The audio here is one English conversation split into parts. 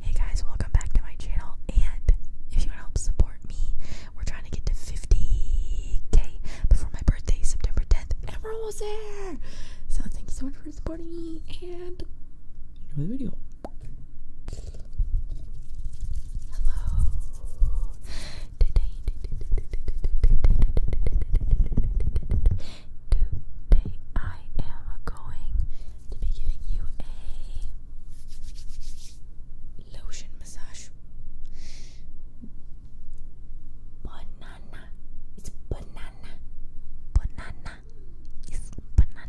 Hey guys, welcome back to my channel. And if you want to help support me, we're trying to get to 50k before my birthday, September 10th, and we there. So thank you so much for supporting me and enjoy the video. Hello. Today, today I am going to be giving you a lotion massage. Banana. It's banana. Banana. It's banana.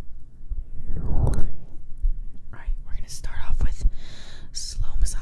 Right, we're gonna start off with slow massage.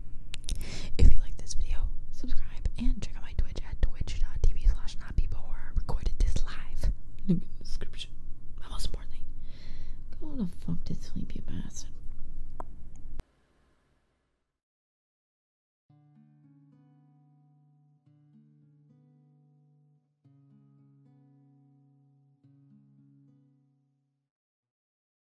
If you like this video, subscribe and check out my Twitch at twitch.tv slash notpeople where I recorded this live. in the description. most important Go the fuck to sleep, you bastard.